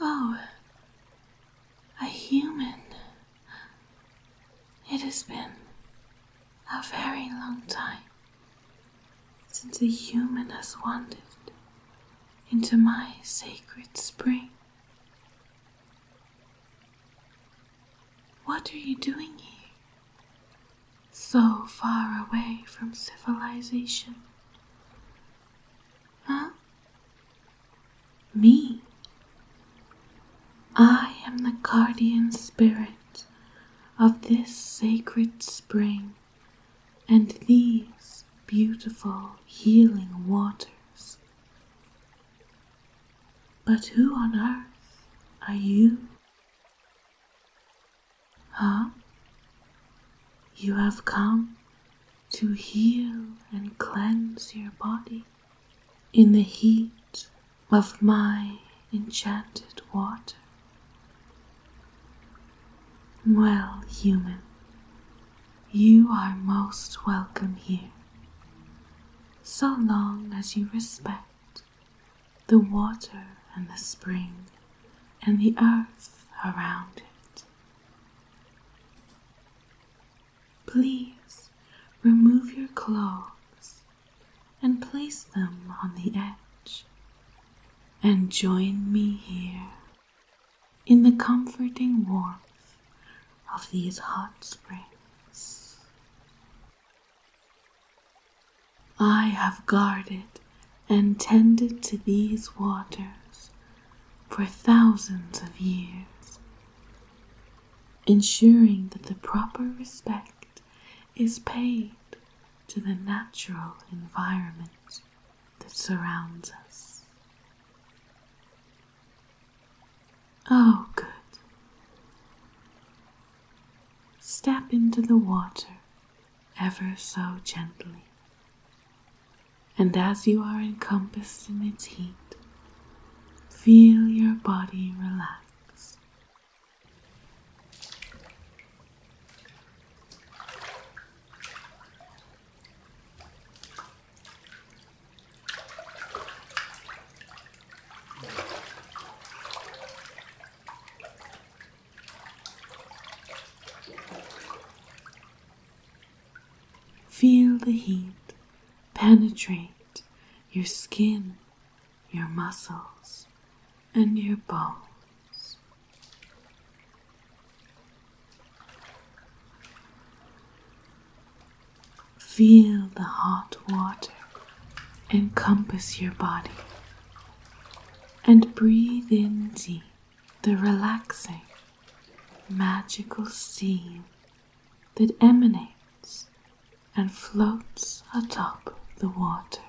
Oh, a human. It has been a very long time since a human has wandered into my sacred spring. What are you doing here? so far away from civilization. Huh? Me? I am the guardian spirit of this sacred spring and these beautiful healing waters. But who on earth are you? Ah, you have come to heal and cleanse your body in the heat of my enchanted water. Well, human, you are most welcome here, so long as you respect the water and the spring and the earth around it. Please remove your clothes, and place them on the edge and join me here in the comforting warmth of these hot springs. I have guarded and tended to these waters for thousands of years, ensuring that the proper respect is paid to the natural environment that surrounds us. Oh, good. Step into the water ever so gently. And as you are encompassed in its heat, feel your body relax. Feel the heat penetrate your skin, your muscles, and your bones. Feel the hot water encompass your body and breathe in deep the relaxing, magical steam that emanates and floats atop the water.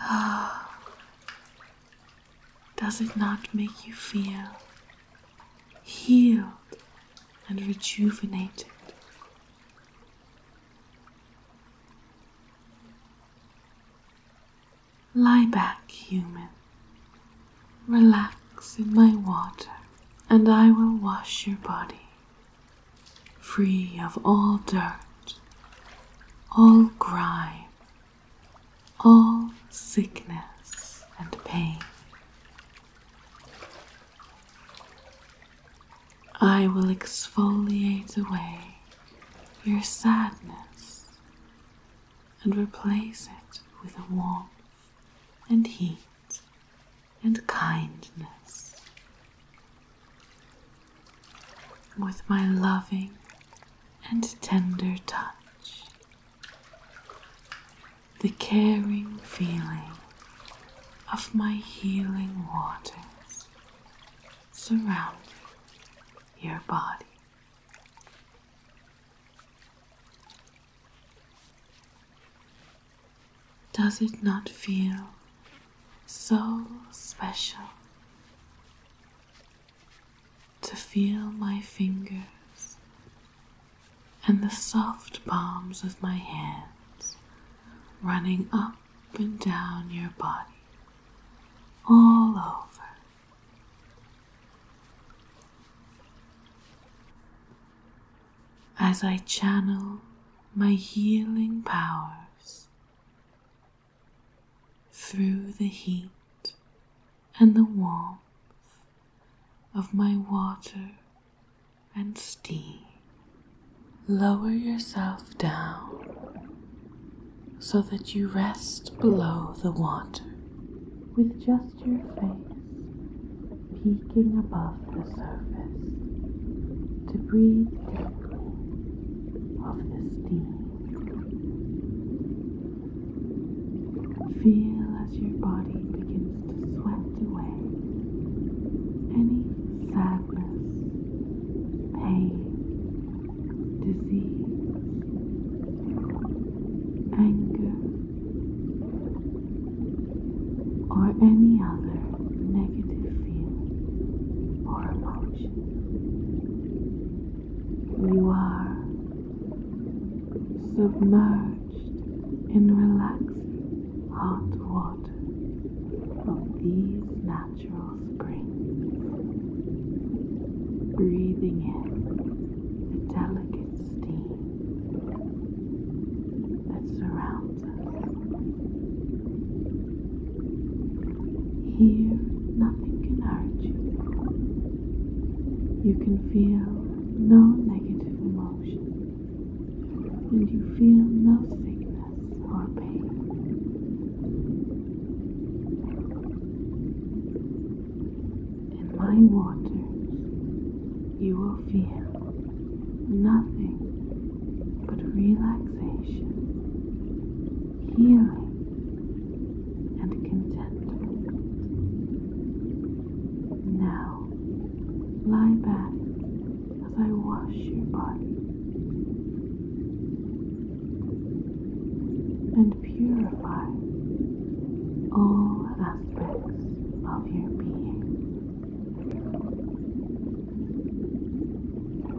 Ah. Does it not make you feel healed and rejuvenated? Lie back, human. Relax in my water, and I will wash your body, free of all dirt, all grime, all sickness and pain. I will exfoliate away your sadness and replace it with warmth and heat and kindness. With my loving and tender touch, the caring feeling of my healing waters surrounding your body. Does it not feel so special to feel my fingers and the soft palms of my hands running up and down your body all over. As I channel my healing powers through the heat and the warmth of my water and steam. Lower yourself down so that you rest below the water with just your face peeking above the surface to breathe deeply of the steam. Feel as your body begins to sweat away any sadness, pain, disease, anger, or any other negative feeling or emotion. You are submerged in relaxing hot water of these natural springs, breathing in the delicate steam that surrounds us. Here, nothing can hurt you. You can feel no negative emotion, and you feel no sickness or pain. In my waters, you will feel nothing but relaxation healing and contentment. Now, lie back as I wash your body and purify all aspects of your being.